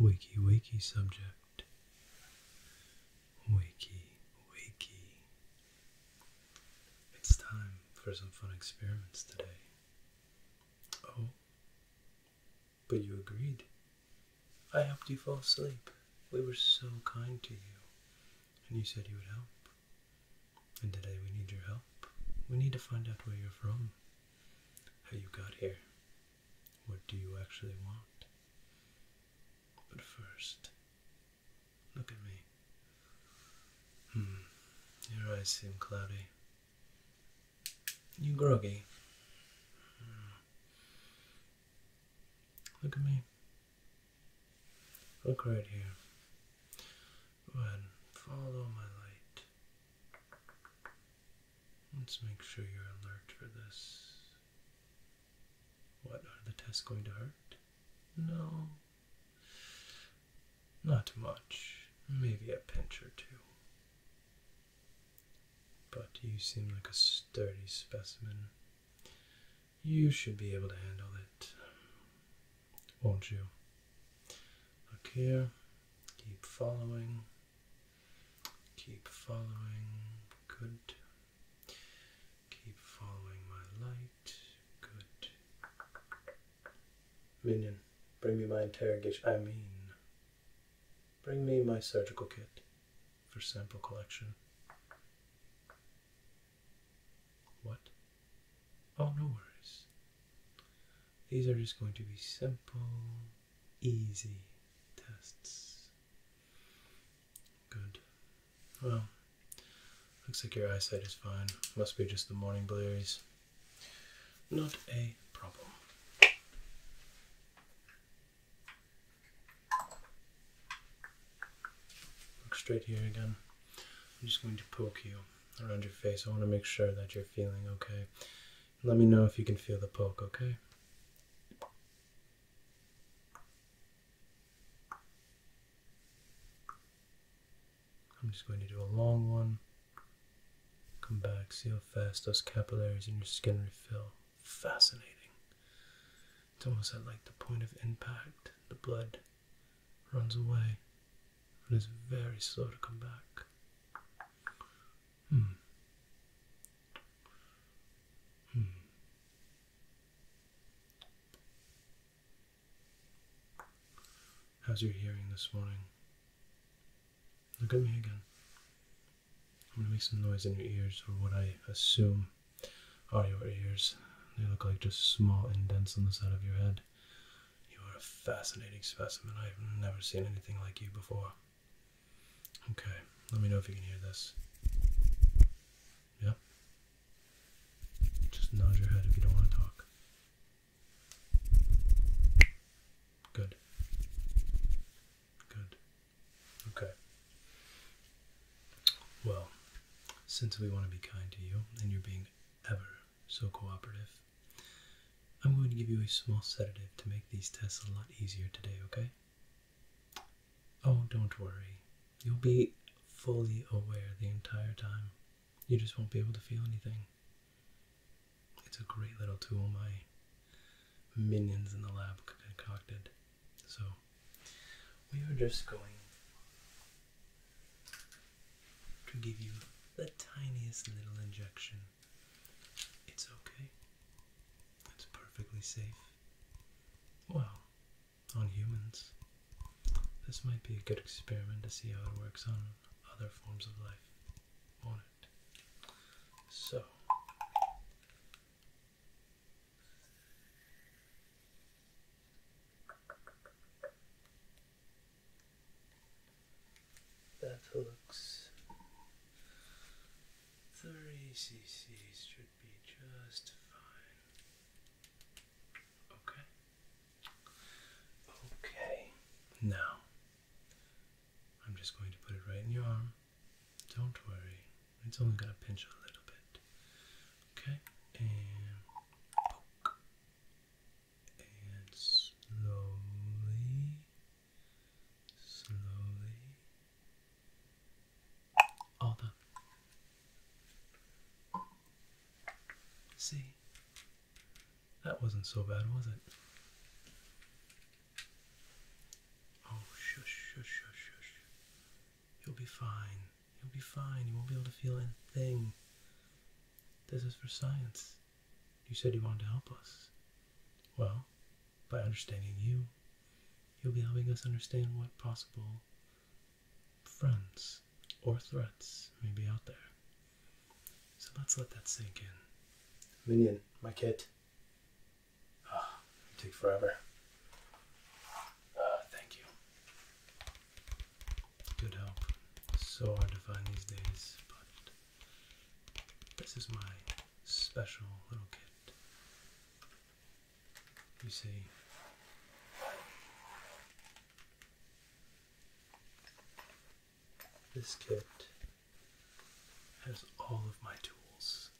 Wakey, wakey, subject. Wakey, wakey. It's time for some fun experiments today. Oh, but you agreed. I helped you fall asleep. We were so kind to you, and you said you would help. And today we need your help. We need to find out where you're from how you got here, what do you actually want. But first, look at me. Hmm, your eyes seem cloudy. You groggy. Hmm. Look at me. Look right here. Go ahead, follow my light. Let's make sure you're alert for this. What, are the tests going to hurt? No. Not much. Maybe a pinch or two. But you seem like a sturdy specimen. You should be able to handle it, won't you? Look here. Keep following. Keep following, good. Keep following my light, good. Minion, bring me my interrogation. I mean, bring me my surgical kit for sample collection. What? Oh, no worries. These are just going to be simple, easy tests. Good. Well, looks like your eyesight is fine. Must be just the morning blurries. Not a problem. Look straight here again. I'm just going to poke you around your face. I want to make sure that you're feeling okay. Let me know if you can feel the poke, okay? I'm just going to do a long one. Come back, see how fast those capillaries in your skin refill. Fascinating. It's almost at like the point of impact. The blood runs away. is very slow to come back. Hmm. Hmm. How's your hearing this morning? Look at me again. I'm gonna make some noise in your ears, or what I assume are your ears. They look like just small indents on the side of your head. You are a fascinating specimen. I've never seen anything like you before. Okay, let me know if you can hear this. Yeah. Just nod your head if you don't want to talk. Good. Good. Okay. Well, since we want to be kind to you and you're being ever so cooperative, I'm going to give you a small sedative to make these tests a lot easier today, okay? Oh, don't worry. You'll be fully aware the entire time. You just won't be able to feel anything. It's a great little tool my minions in the lab concocted. So, we are just going to give you the tiniest little injection it's okay. It's perfectly safe. Well, on humans, this might be a good experiment to see how it works on other forms of life, will it? So. That looks three cc's should be just fine. Okay. Okay. Now, I'm just going to put it right in your arm. Don't worry, it's only going to pinch a little bit. Okay, and poke. And slowly slowly. All done. See, that wasn't so bad, was it? Oh, shush, shush, shush, shush. You'll be fine. You'll be fine. You won't be able to feel anything. This is for science. You said you wanted to help us. Well, by understanding you, you'll be helping us understand what possible friends or threats may be out there. So let's let that sink in. Minion, my kit. Oh, ah, take forever. Uh, thank you. Good help. So hard to find these days, but this is my special little kit. You see, this kit has all of my tools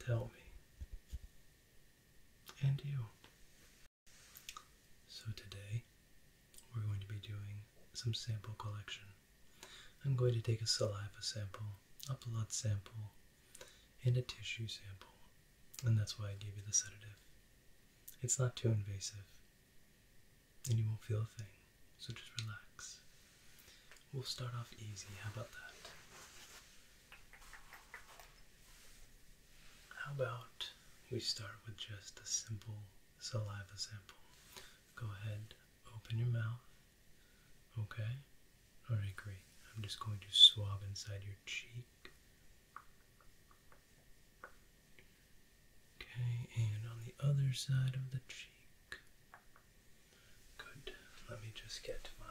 to help me and you. So today we're going to be doing some sample collection. I'm going to take a saliva sample, a blood sample, and a tissue sample, and that's why I gave you the sedative. It's not too invasive, and you won't feel a thing, so just relax. We'll start off easy, how about that? How about we start with just a simple saliva sample. Go ahead, open your mouth. Okay? Alright, great. I'm just going to swab inside your cheek. Okay, and on the other side of the cheek. Good. Let me just get my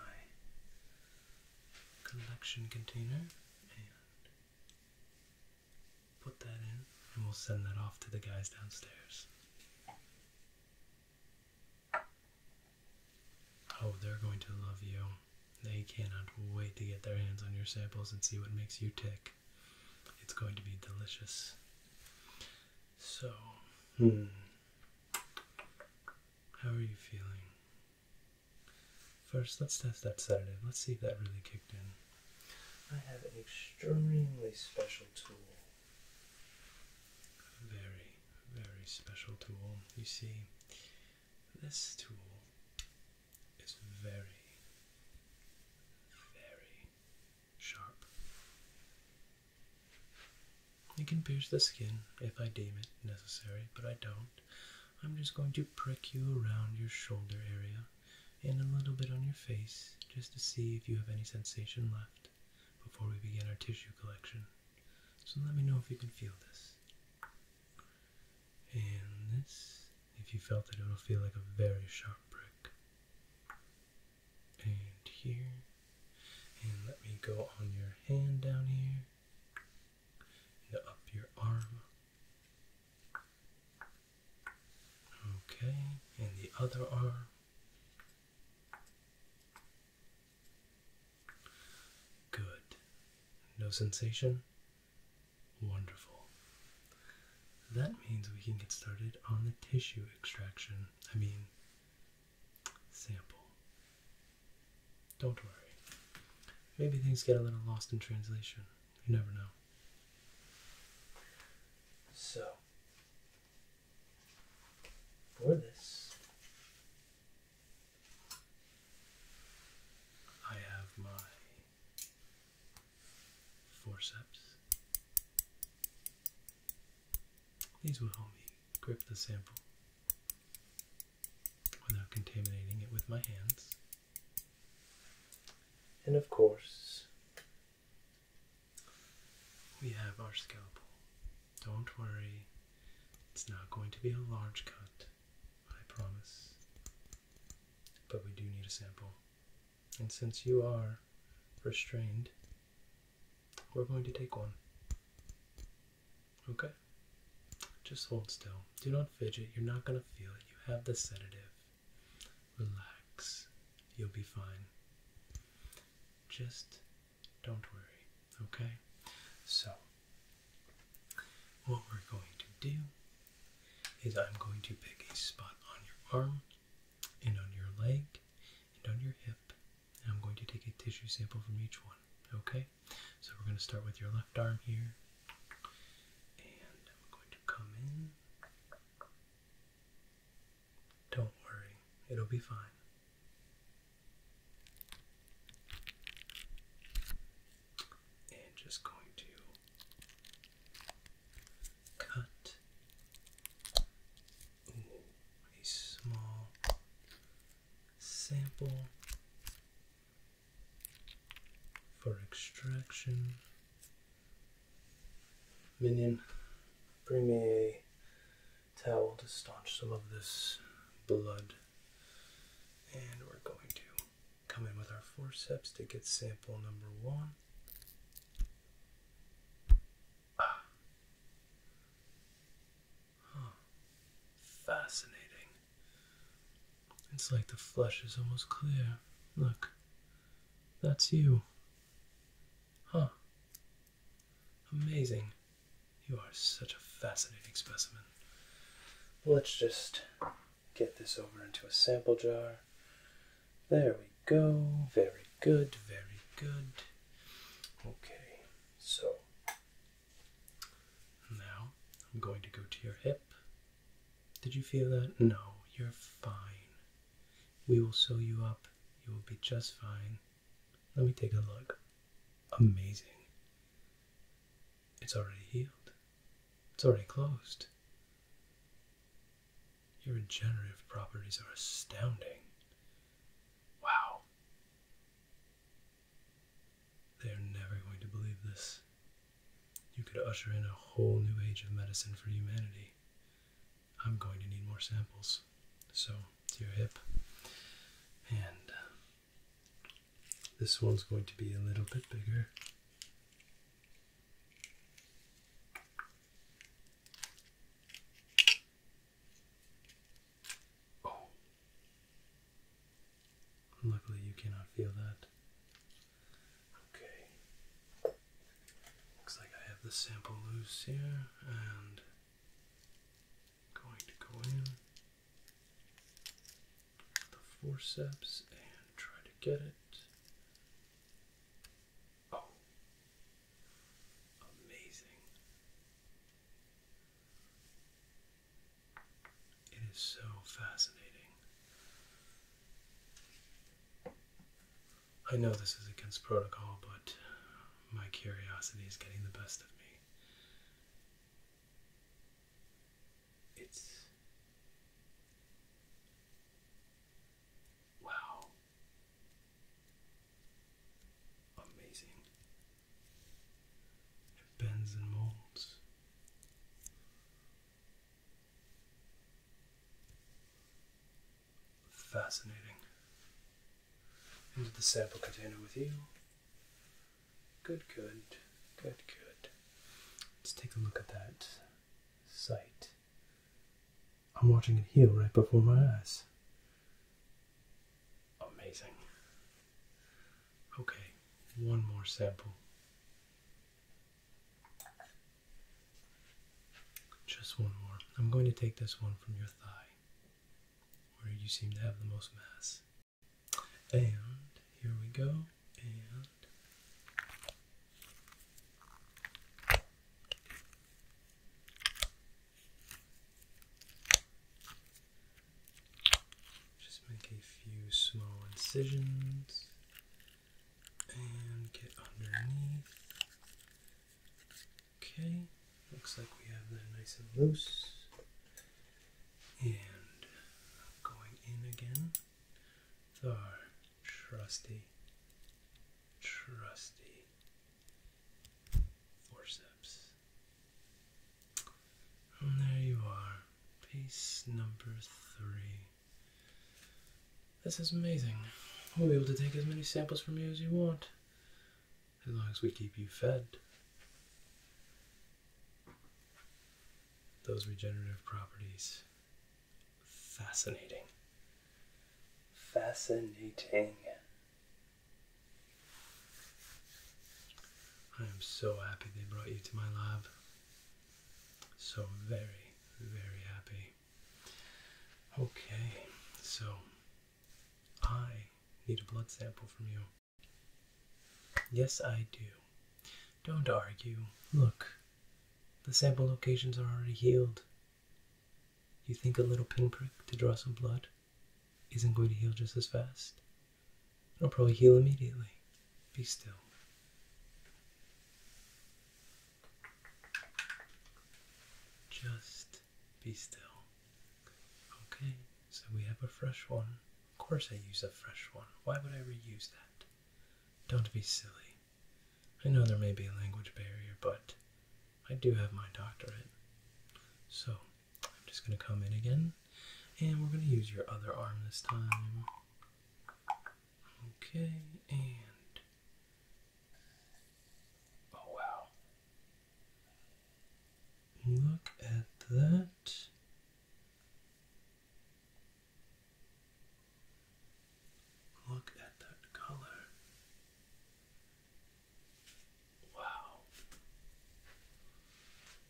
collection container and Put that in and we'll send that off to the guys downstairs. Oh, they're going to love you. They cannot wait to get their hands on your samples and see what makes you tick. It's going to be delicious. So, hmm. How are you feeling? First, let's test that sedative. Let's see if that really kicked in. I have an extremely special tool. very, very special tool. You see, this tool is very, very sharp. It can pierce the skin if I deem it necessary, but I don't. I'm just going to prick you around your shoulder area and a little bit on your face just to see if you have any sensation left before we begin our tissue collection. So let me know if you can feel this. And this, if you felt it, it'll feel like a very sharp prick. And here. And let me go on your hand down here. And up your arm. Okay, and the other arm. Good. No sensation? Wonderful. That means we can get started on the tissue extraction. I mean, sample. Don't worry. Maybe things get a little lost in translation. You never know. So, for this, I have my forceps. These will help me grip the sample without contaminating it with my hands. And of course, we have our scalpel. Don't worry, it's not going to be a large cut, I promise. But we do need a sample. And since you are restrained, we're going to take one. Okay? Just hold still. Do not fidget. You're not going to feel it. You have the sedative. Relax, you'll be fine. Just don't worry, okay? So, what we're going to do is I'm going to pick a spot on your arm and on your leg and on your hip. And I'm going to take a tissue sample from each one, okay? So, we're going to start with your left arm here. And I'm going to come in don't worry, it'll be fine. And just going to cut a small sample for extraction Minion, bring me a towel to staunch some of this blood. And we're going to come in with our forceps to get sample number one. Ah. Fascinating. It's like the flesh is almost clear. Look, that's you. Huh. Amazing. You are such a fascinating specimen. Let's just get this over into a sample jar. There we go. Very good, very good. Okay, so now I'm going to go to your hip. Did you feel that? No, you're fine. We will sew you up. You will be just fine. Let me take a look. Amazing. It's already healed. It's already closed. Your regenerative properties are astounding. Wow. They are never going to believe this. You could usher in a whole new age of medicine for humanity. I'm going to need more samples. So, to your hip. And uh, this one's going to be a little bit bigger. Oh. Luckily, you cannot feel that. Okay. Looks like I have the sample loose here and going to go in the forceps and try to get it. Oh. Amazing. It is so fascinating I know this is against protocol, but my curiosity is getting the best of me. It's. Wow. Amazing. It bends and molds. Fascinating. Into the sample container with you. Good, good, good, good. Let's take a look at that site. I'm watching it heal right before my eyes. Amazing. Okay, one more sample. Just one more. I'm going to take this one from your thigh, where you seem to have the most mass. And here we go. And just make a few small incisions and get underneath. Okay, looks like we have that nice and loose. And going in again our trusty, trusty forceps. And there you are, piece number three. This is amazing. We'll be able to take as many samples from you as you want, as long as we keep you fed. Those regenerative properties. Fascinating. Fascinating. I am so happy they brought you to my lab. So very, very happy. Okay, so I need a blood sample from you. Yes, I do. Don't argue. Look, the sample locations are already healed. You think a little pinprick to draw some blood isn't going to heal just as fast? It'll probably heal immediately. Be still. Just be still. Okay, so we have a fresh one. Of course, I use a fresh one. Why would I reuse that? Don't be silly. I know there may be a language barrier, but I do have my doctorate. So, I'm just going to come in again, and we're going to use your other arm this time. Okay, and oh wow. Look at that. Look at that color. Wow.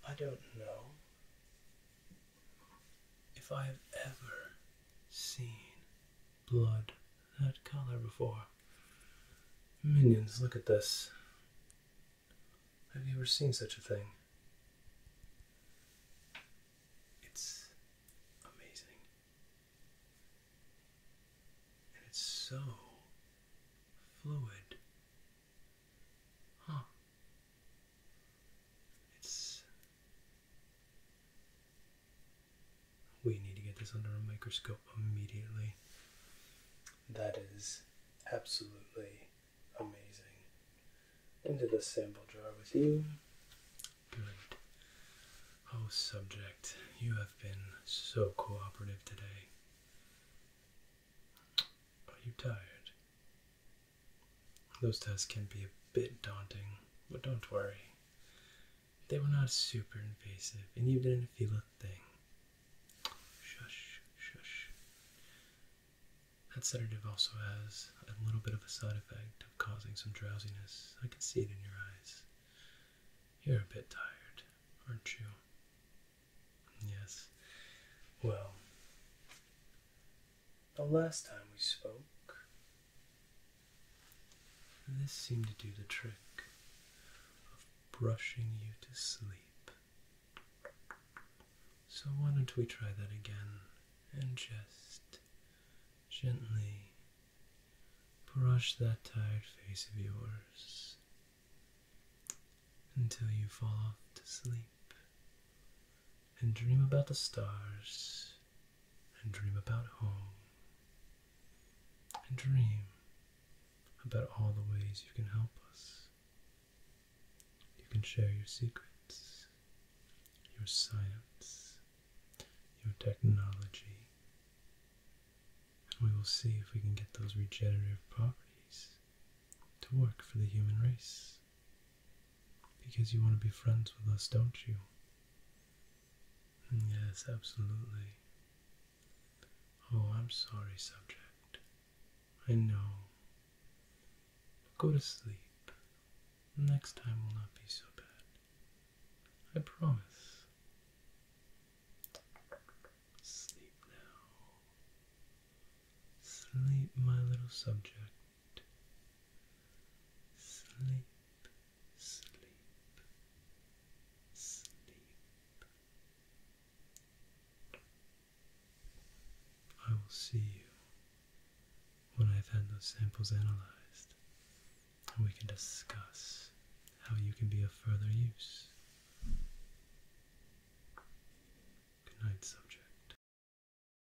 I don't know if I have ever seen blood that color before. Minions, look at this. Have you ever seen such a thing? It's amazing. And it's so fluid. Huh. It's. We need to get this under a microscope immediately. That is absolutely amazing. Into the sample jar with you. Good. Oh, subject, you have been so cooperative today. Are you tired? Those tests can be a bit daunting, but don't worry. They were not super invasive, and you didn't feel a thing. Shush, shush. That sedative also has a little bit of a side effect of causing some drowsiness. I can see it in your eyes. You're a bit tired, aren't you? Yes. Well, the last time we spoke. this seemed to do the trick of brushing you to sleep. So why don't we try that again and just gently brush that tired face of yours until you fall off to sleep and dream about the stars and dream about home and dream about all the ways you can help us. You can share your secrets, your science, your technology, and we will see if we can get those regenerative properties to work for the human race. Because you want to be friends with us, don't you? Mm, yes, absolutely. Oh, I'm sorry, subject. I know. Go to sleep. Next time will not be so bad. I promise. Sleep now. Sleep, my little subject sleep, sleep, sleep. I will see you when I've had those samples analyzed, and we can discuss how you can be of further use. Good night, subject.